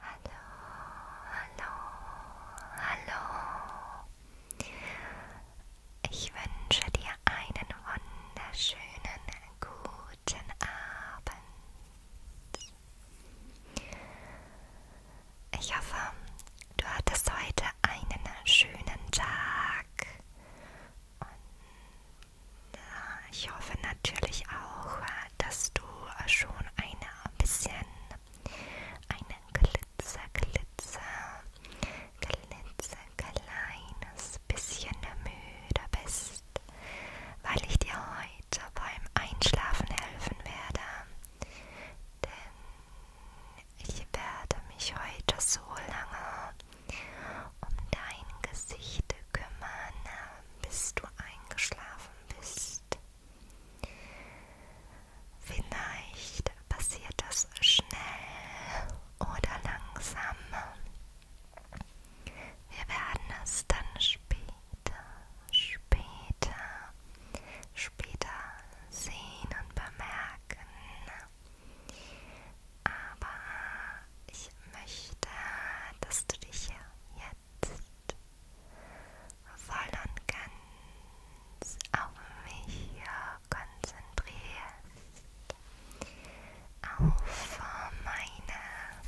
Hallo, hallo, hallo. Ich wünsche dir einen wunderschönen guten Abend. Ich hoffe, du hattest heute einen schönen Tag. Und äh, ich hoffe natürlich auch, äh, dass du schon eine bisschen einen glitzer, glitzer, glitzer kleines bisschen müde bist, weil ich dir heute beim Einschlafen helfen werde. Denn ich werde mich heute so lange um dein Gesicht kümmern, bis du eingeschlafen bist ist. Vielleicht passiert das schnell oder langsam. Wir werden es dann später, später, später sehen und bemerken. Aber ich möchte, dass du dich ja jetzt voll und ganz auf mich konzentrierst, auf meine Finger,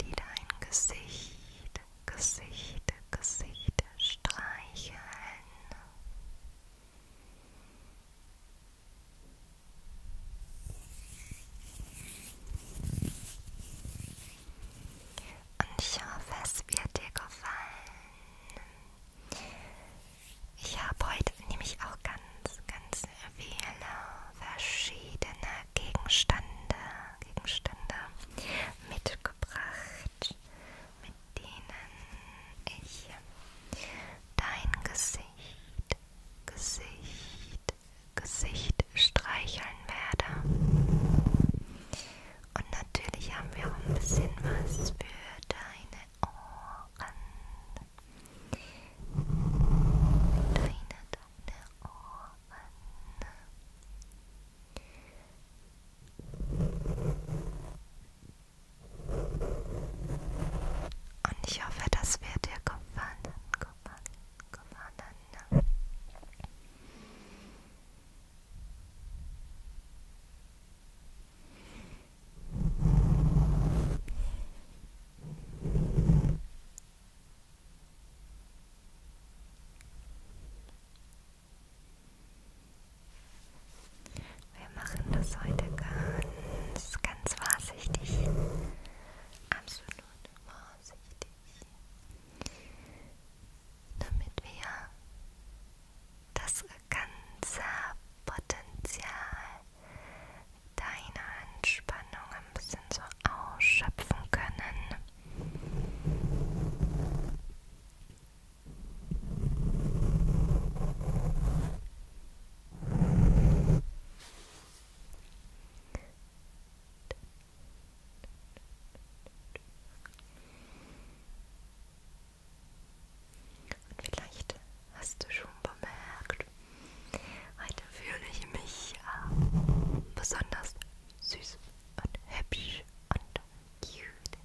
die dein Gesicht, Gesicht, Gesicht streicheln. Und ich hoffe, es wird dir gefallen. Ich habe heute nämlich auch ganz, ganz viele verschiedene Gegenstände, Gegenstände mitgebracht, mit denen ich dein Gesicht, Gesicht, Gesicht streicheln werde. Und natürlich haben wir auch ein bisschen was für deine Ohren. Deine, deine Ohren. Und ich hoffe, das wird dir gefallen, gefallen, gefallen. Und wir machen das heute ganz, ganz vorsichtig. Absolut vorsichtig. Damit wir das ganze Potenzial deiner Entspannung ein bisschen so ausschöpfen können. Und vielleicht hast du schon bemerkt, heute fühle ich mich äh, besonders süß und hübsch und cute.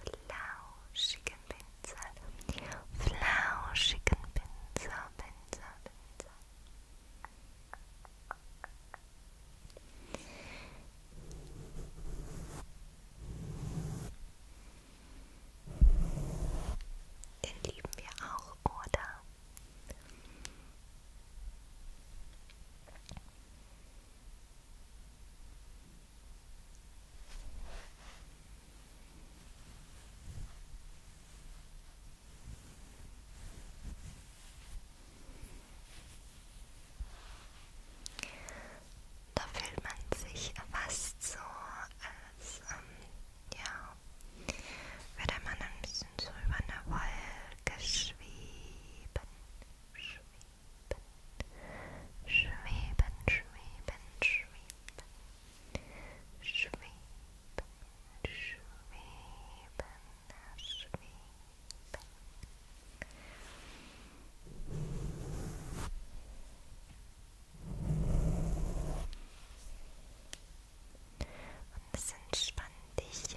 flauschigen Pinsel, flauschigen Pinsel, Pinsel, Pinsel. Den lieben wir auch, oder? Da fühlt man sich fast so, als ähm, ja, würde man ein bisschen so über eine Wolke schweben. schweben schweben, schweben, schweben, schweben, schweben, schweben. Und es entspannt dich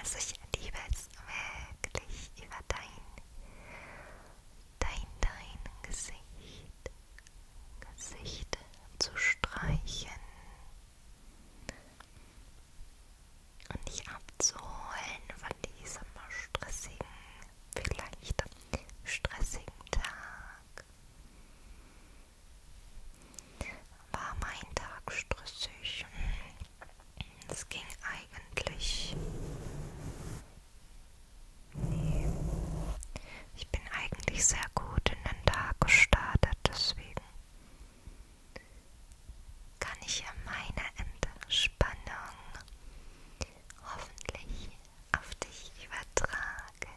Also ich liebe es wirklich über dein dein, dein Gesicht, Gesicht zu streichen und dich abzuholen von diesem stressigen, vielleicht stressigen Tag. War mein Tag stressig. Es ging eigentlich ich bin eigentlich sehr gut in den Tag gestartet, deswegen kann ich ja meine Entspannung hoffentlich auf dich übertragen.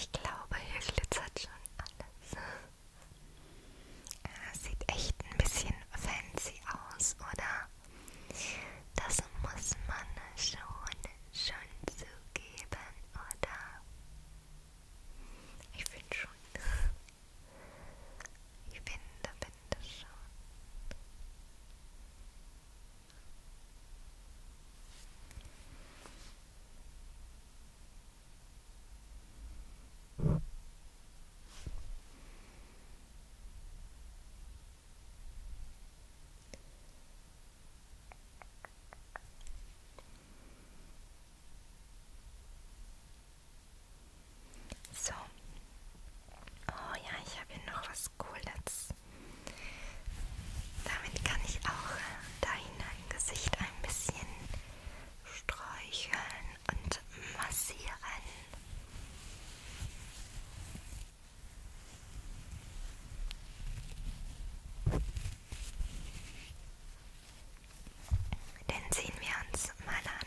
Ich glaube, hier glitzert schon alles. Das ah, sieht echt ein bisschen fancy aus, oder? Das muss man schon, schon zugeben, oder? Ich finde schon. Ich finde, finde schon. So. Oh ja, ich habe hier noch was Cooles. Damit kann ich auch äh, dein Gesicht ein bisschen streicheln und massieren. Den ziehen wir uns mal an.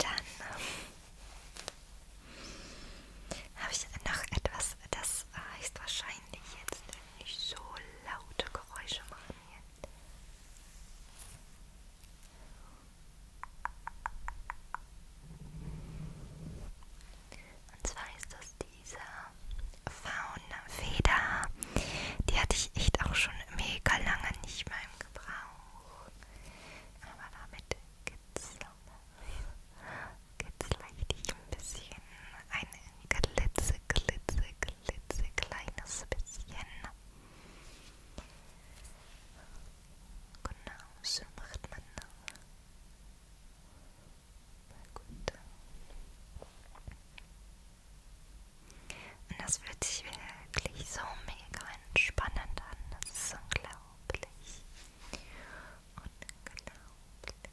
Dann ähm, habe ich noch etwas, das höchstwahrscheinlich jetzt nicht so laute Geräusche machen hier. Und zwar ist das diese Faunfeder. Die hatte ich echt auch schon mega lange nicht mehr im Gebrauch. Aber damit kitzle, kitzle ich dich ein bisschen. Ein Glitze, Glitze, Glitze klitzekleines bisschen. Genau, so macht man das. Gut. Und das fühlt sich wirklich so mega entspannend an. Das ist unglaublich. Unglaublich.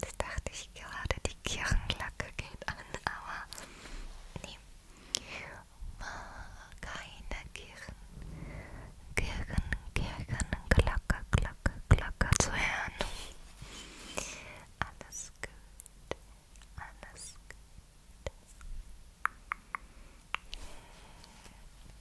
Das dachte ich gerade, die Kirchenglocke geht an, aber nee. Keine Kirchen, Kirchen, Kirchen, Glocke, Glocke, Glocke zu hören. Alles gut, alles gut.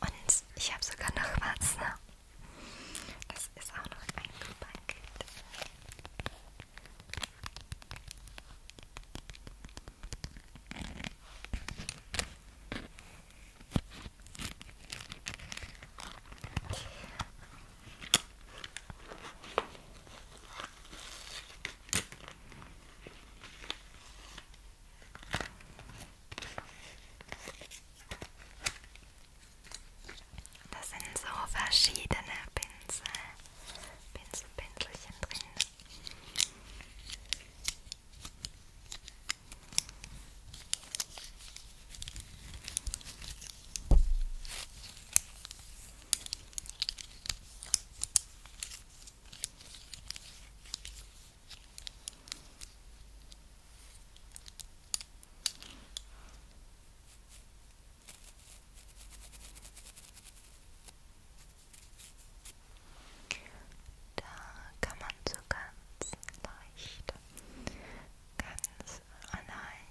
Und ich habe sogar noch was. Ne? Es ist auch noch eingepackelt. Das sind so verschiedene Pinsel, Pinselpinselchen drin. Da kann man so ganz leicht, ganz leicht drüber malen.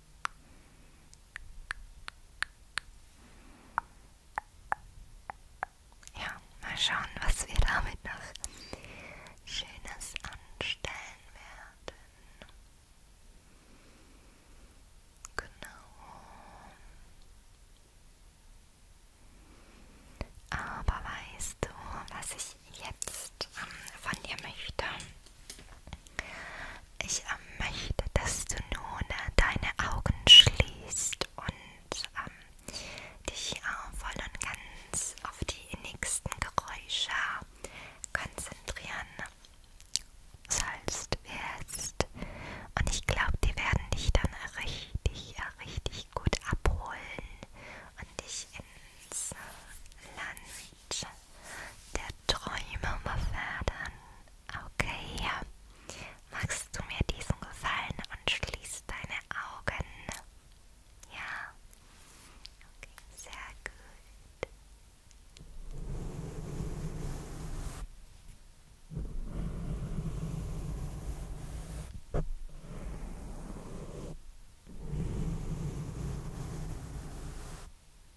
Ja, mal schauen, was wir damit noch Schönes anstellen werden. Genau. Aber weißt du, was ich jetzt ähm, von dir möchte? ich ähm, möchte, dass du nun äh, deine Augen schließt und ähm, dich äh, voll und ganz auf die nächsten Geräusche konzentrieren sollst, wirst. Und ich glaube, die werden dich dann richtig, äh, richtig gut abholen und dich ins Land der Träume befördern. Okay, ja. Magst du mir diesen Gefallen und schließ deine Augen? Ja. Okay, sehr gut. Okay,